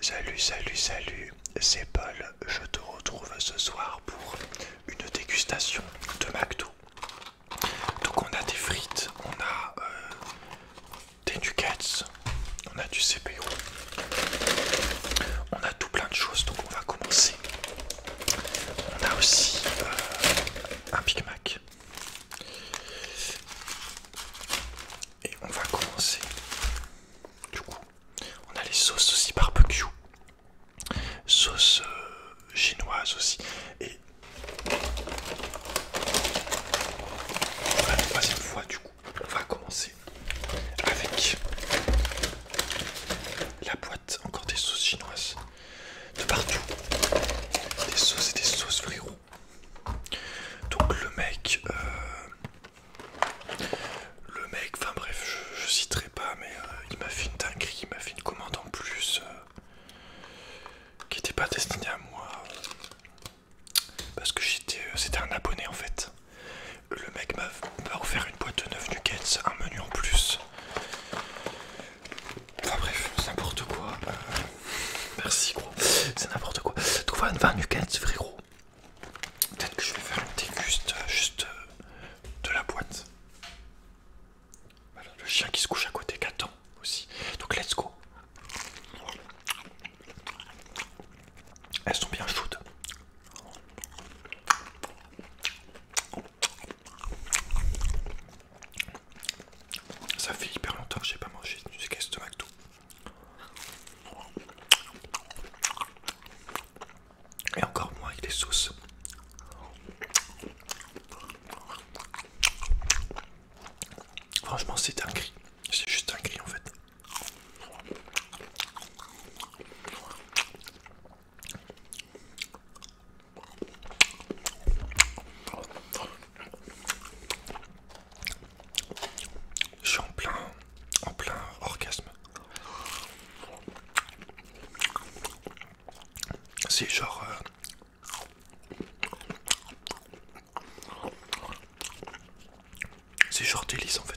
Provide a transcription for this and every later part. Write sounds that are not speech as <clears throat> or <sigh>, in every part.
Salut, salut, salut, c'est Paul. Je te retrouve ce soir pour une dégustation de McDo. Donc on a des frites, on a euh, des nuggets, on a du CPO, on a tout plein de choses. Donc on va commencer. On a aussi euh, un Big Mac. Et on va commencer du coup, on a les sauces aussi barbecue, sauce chinoises euh, chinoise aussi. Et la troisième fois, du coup, on va commencer avec la boîte encore des sauces chinoises de partout. Des sauces et des sauces frérots. Donc le mec, euh, le mec, enfin bref, je, citerai pas, mais euh, il m'a fait une dinguerie, il m'a fait une commande en plus euh, qui n'était pas destinée à moi. Parce que j'étais, euh, c'était un abonné en fait. Le mec m'a offert une boîte de 9 nuggets, un menu en plus. Enfin bref, c'est n'importe quoi. merci gros, c'est n'importe quoi. Trouve un 20 nuggets frérot. Peut-être que je vais faire un déguste juste euh, euh, de la boîte. le chien qui se couche à côté qu'attend aussi. Donc let's go. Elles sont bien chaudes. Ça fait hyper longtemps que j'ai pas mangé du caisse de McDo. Et encore moins avec est sauces. Franchement, c'est un cri. C'est juste un cri en fait. Je suis en plein, orgasme. C'est genre... Euh, c'est genre délice en fait.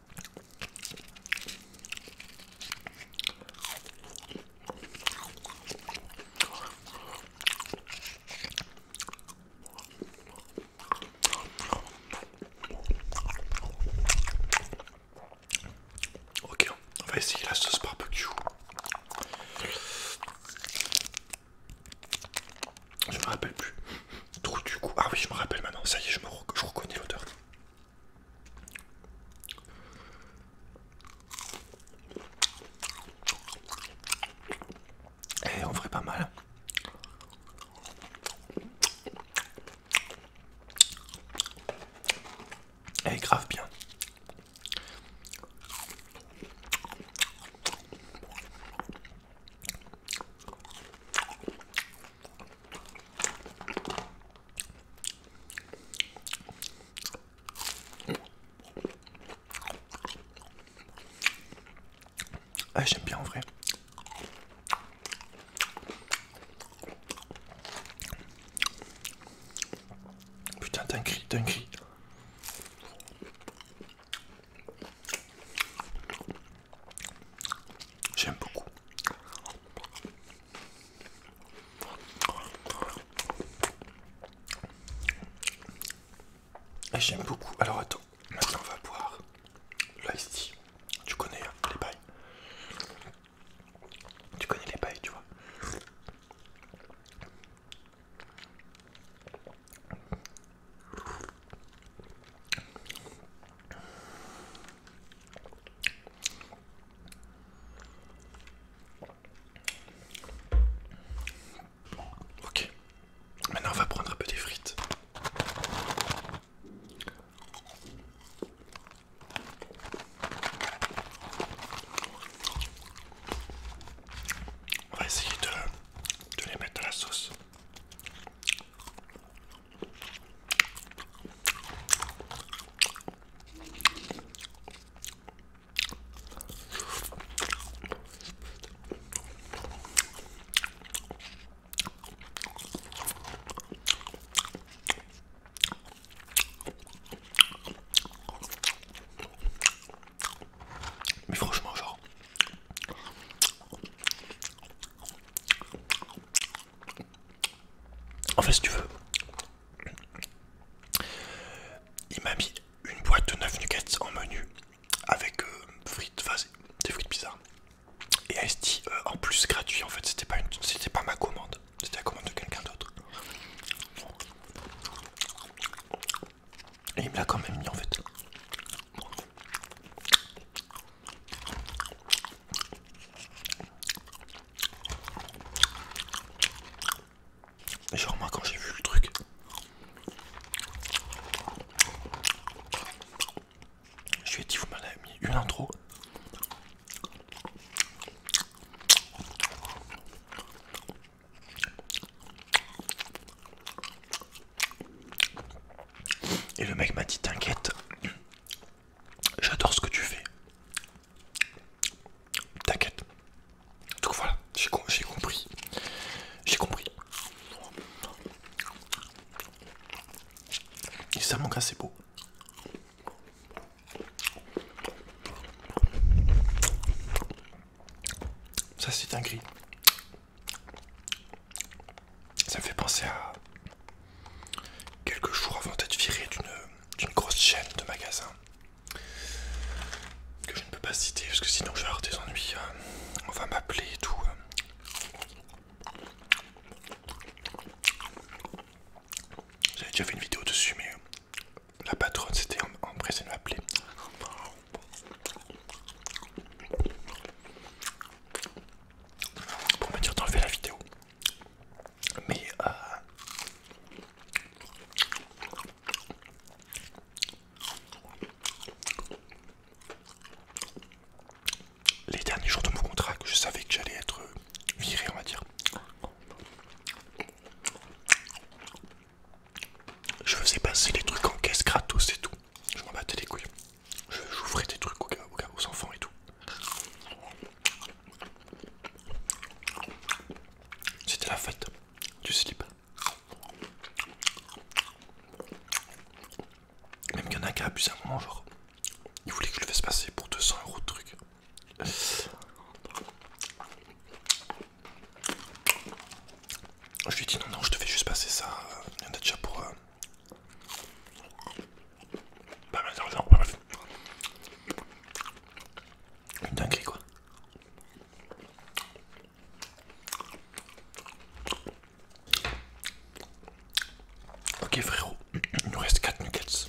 Ok, on va essayer la sauce barbecue. Je me rappelle plus. du coup. Ah oui, je me rappelle maintenant. Ça y est, je, me je reconnais l'odeur. Et eh, on ferait pas mal. Eh, grave bien. Ah, j'aime bien en vrai. Putain, t'as cri, t'as cri. J'aime beaucoup. Et j'aime beaucoup. Alors attends, maintenant on va boire l'ice Tu connais hein, les pailles. Tu connais les pailles, tu vois ok. Maintenant, on va prendre un peu des frites. On va essayer de les mettre dans la sauce. Mais franchement, genre, en fait, si tu veux, il m'a mis une boîte de 9 nuggets en menu avec euh, frites, enfin, des frites bizarres. Et un euh, en plus gratuit, en fait, c'était pas, pas ma commande, c'était la commande de quelqu'un d'autre. Et il me l'a quand même mis en fait. Genre moi quand j'ai vu le truc Je lui ai dit vous m'avez mis une intro Et le mec m'a dit t'inquiète J'adore ce que tu fais. T'inquiète. Donc voilà, j'ai compris. J'ai compris. Et ça manque assez beau. Ça c'est un gris. Ça me fait penser à quelques jours avant d'être viré d'une grosse chaîne de magasins que je ne peux pas citer parce que sinon je vais avoir des ennuis. Euh, on va m'appeler et tout. Euh. J'avais déjà fait une vidéo dessus, mais euh, la patronne s'était empressée de m'appeler. Pour me dire d'enlever la vidéo. Mais euh, les derniers jours de mon contrat, je savais que j'allais être euh, viré, on va dire. Je faisais passer les trucs en caisse gratos et tout. Je m'en battais les couilles. J'ouvrais des trucs aux, aux enfants et tout. C'était la fête du slip. Même qu'il y en a abusé à un moment, genre. Il voulait que je le fasse passer pour 200 euros de truc. Je lui ai dit non, non, je te fais juste passer ça. Euh, il y en a déjà pour, euh, bah Pas mal d'argent, pas mal. Une dinguerie quoi. Ok frérot, <clears throat> il nous reste 4 nuggets.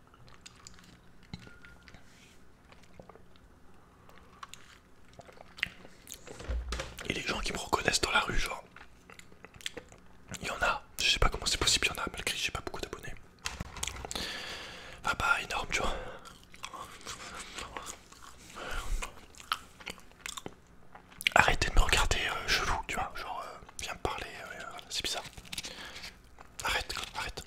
Et les gens qui me reconnaissent dans la rue, genre, il y en a, je sais pas comment c'est possible, il y en a malgré que j'ai pas beaucoup d'abonnés. Ah bah énorme, tu vois. Arrêtez de me regarder euh, chelou, tu vois, genre, euh, viens me parler, euh, c'est bizarre. Arrête, arrête.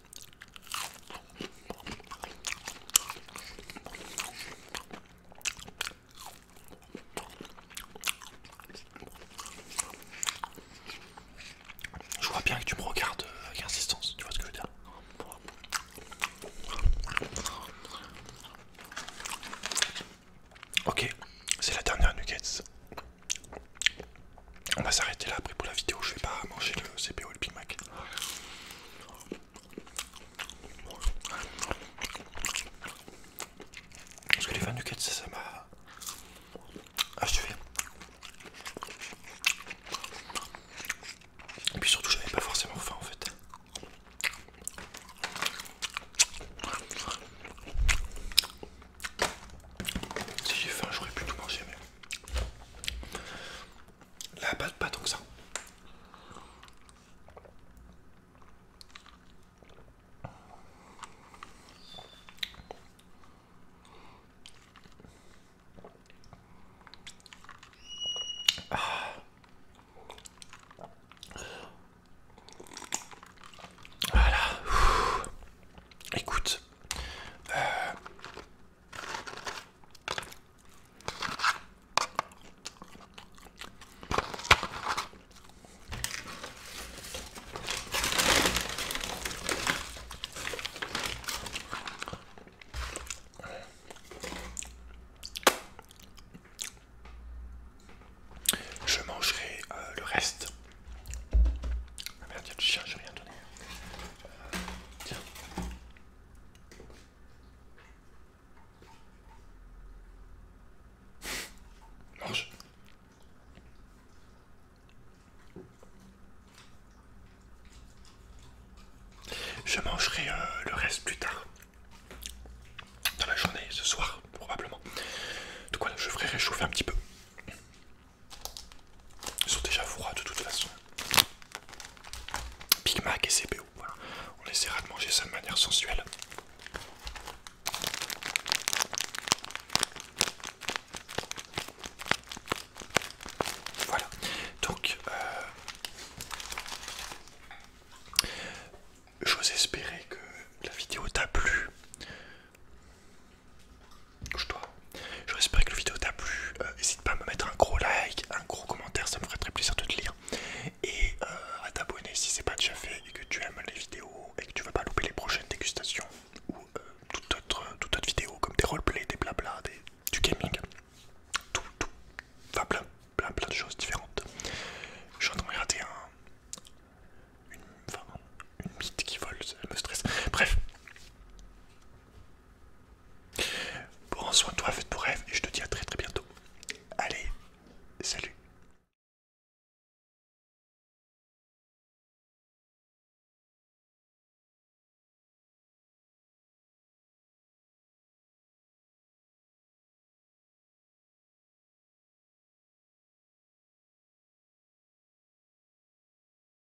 Je vois bien que tu me regardes euh, avec insistance, tu vois ce que je veux dire. Ok, c'est la dernière nuggets. On va s'arrêter là après pour la vidéo. Je vais pas manger le CPO et le Big Parce que les fans du ça, ça m'a achevé. Et puis surtout, j'avais pas forcément faim en fait. Si j'ai faim, j'aurais pu tout manger, mais la pâte, pas tant que ça. Ah. Voilà. Écoute, euh, je mangerai euh, le reste. Ah merde, il y a le chien, j'ai rien donné. Tiens. Mange. Je mangerai euh, le reste plus tard. Dans la journée, ce soir, probablement. De quoi je ferai réchauffer un petit peu. Ils sont déjà froids de toute façon. Big Mac et CPO, voilà. On essaiera de manger ça de manière sensuelle. Voilà, donc euh, j'ose espérer que la vidéo t'a plu toi J'espère que la vidéo t'a plu. Euh, n'hésite pas à me mettre un gros like, un gros commentaire, ça me ferait très plaisir de te lire. Et euh, à t'abonner si c'est pas déjà fait et que tu aimes les vidéos et que tu vas pas louper les prochaines dégustations ou toutes euh, toute, autre, vidéo comme des roleplays, des blabla, des, du gaming. Tout, tout. Enfin plein, plein, de choses différentes. Je suis en train de regarder un... Une, enfin, une mythe qui vole, ça me stresse. Bref, Prends soin de toi, fais ton rêve et je te dis à très très bientôt. Allez, salut.